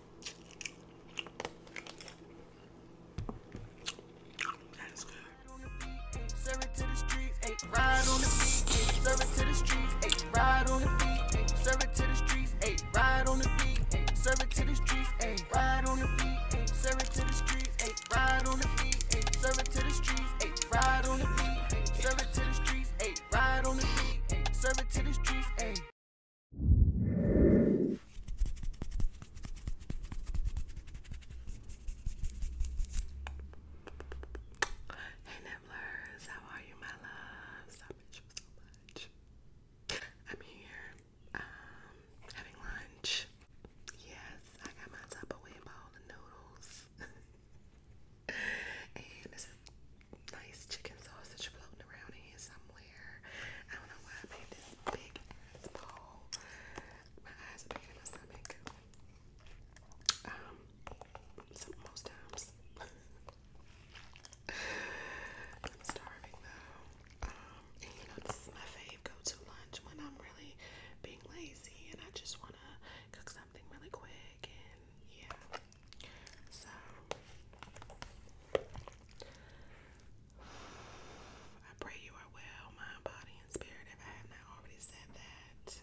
ride on the beat, serve it to the streets, eight ride on the beat, serve it to the streets, eight ride on the beat, serve it to the streets, eight ride on the beat, serve it to the streets, eight ride on the beat, serve it to the streets, eight ride on the beat, serve it to the streets, eight ride on the beat, serve it to the streets, eight. Hey Nibblers, how are you, my loves? I miss you so much. I'm here, um, having lunch. Yes, I got my Tupperware bowl of noodles. and this is nice chicken sausage floating around here somewhere. I don't know why I made this big ass bowl. My eyes are bigger than my stomach. Um, most times. I'm starving though. Um, you know, this is my fave go to lunch when I'm really being lazy and I just want to cook something really quick and yeah. So I pray you are well, mind, body, and spirit. If I have not already said that,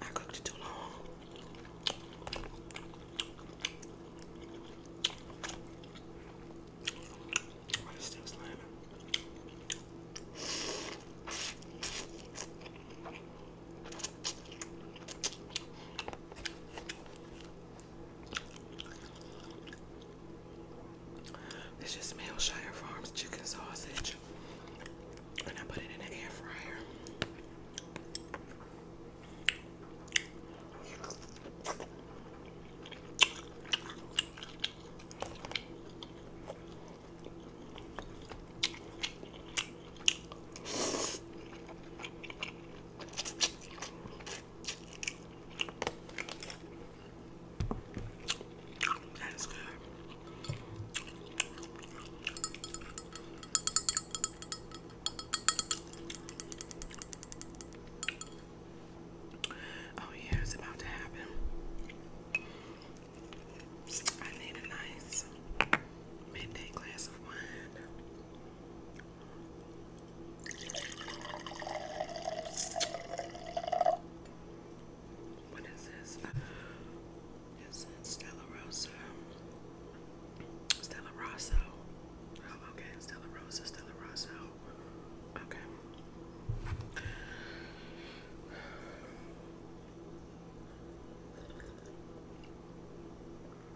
I cooked it too long. Why is still slamming? This is Millshire Farms chicken sausage, and I put it in an air fryer. That is good. Oh, yeah, it's about to happen. I need a nice midnight glass of wine. What is this? This uh, is Stella Rosa. Stella Rosso. Oh, okay. Stella Rosa, Stella Rosso. Okay.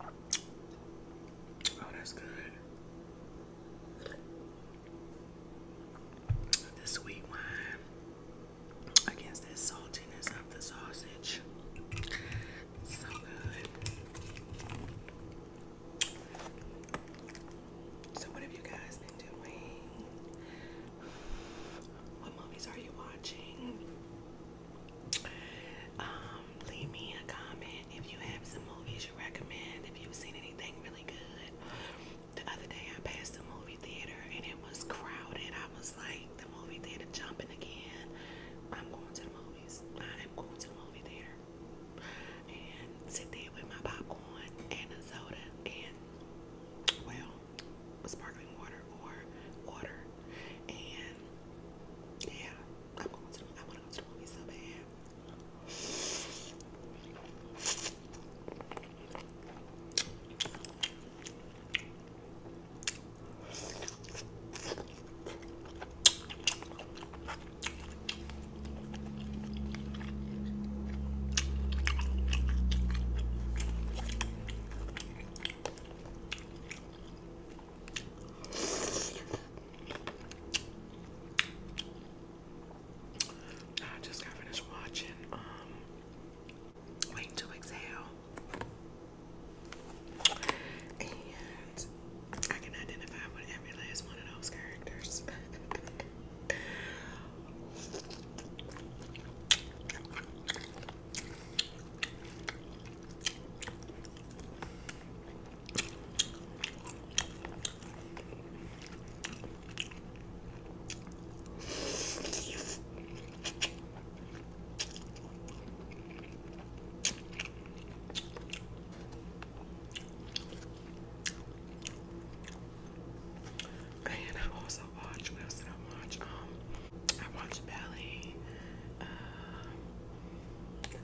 Oh, that's good. The sweet wine against that saltiness of the sausage. So good. So, what have you guys been doing? What movies are you watching? Um, leave me a comment if you have some movies you recommend, if you've seen anything really good. The other day I passed a movie theater and it was crowded. I was like, the movie theater jumping again. I'm going to the movies. I am going to the movie theater. And sit there with my popcorn and a soda and well sparkling water or water. And yeah, I'm going to I want to go to movie so bad. I just got finished watching um, Wait to Exhale. And I can identify with every last one of those characters. And I've watch, what watch? Um, I watched ballet. Um,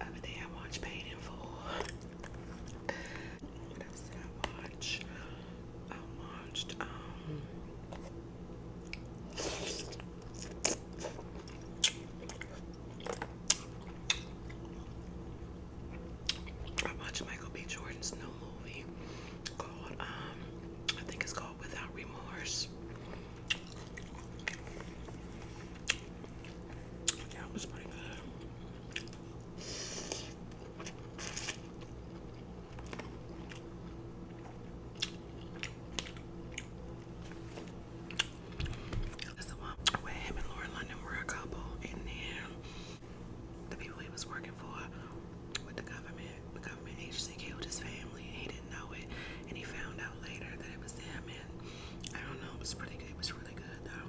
uh, I watched Paid what else I watch? I watched, um, I watched Michael B. Jordan's new movie called, um, I think it's called without remorse. That was pretty good. That's the him and Laura London were a couple, and then the people he was working for with the government. The government agency killed his family, and he didn't know it. And he found out later that it was them. And I don't know. It was pretty good. It was really good though.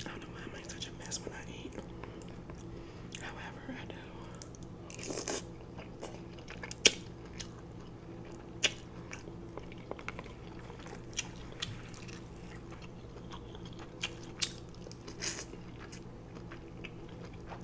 I don't know why I such a mess when I eat. However, I do.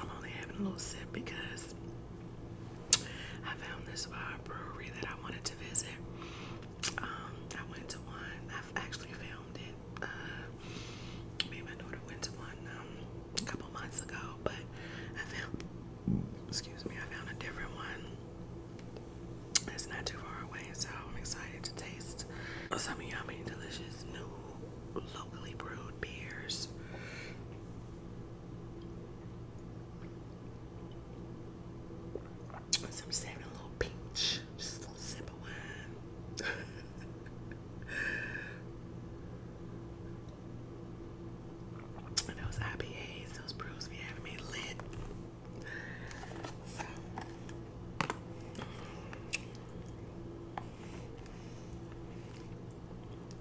I'm only having a little sip because I found this uh, brewery that I wanted to visit. Um, I went to one. I've actually filmed it. Uh, me and my daughter went to one um, a couple months ago, but I found. Excuse me. I found a different one. It's not too far away, so I'm excited to taste some of delicious new locally brewed beers. So I'm just having little pinch, just a little sip of wine. and those IPAs, those brews be having me lit.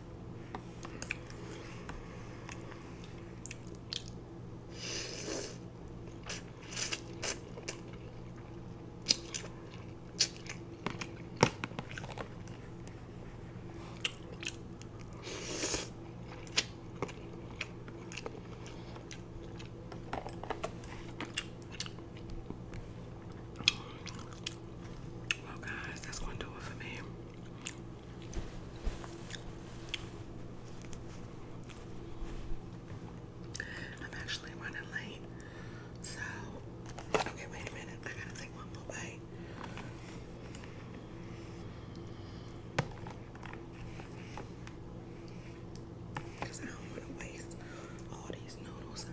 Well, oh, guys, that's going to do it for me. I'm actually running late. So, okay, wait a minute. I gotta take one more bite. Because I don't want to waste all these noodles.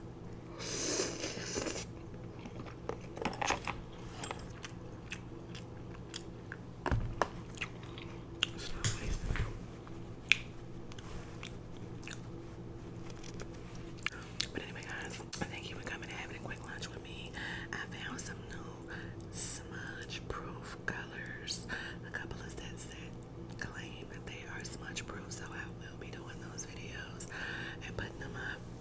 But anyway, guys, thank you for coming and having a quick lunch with me. I found some new smudge proof colors. A couple of sets that claim that they are smudge proof, so I will be doing those videos and putting them up.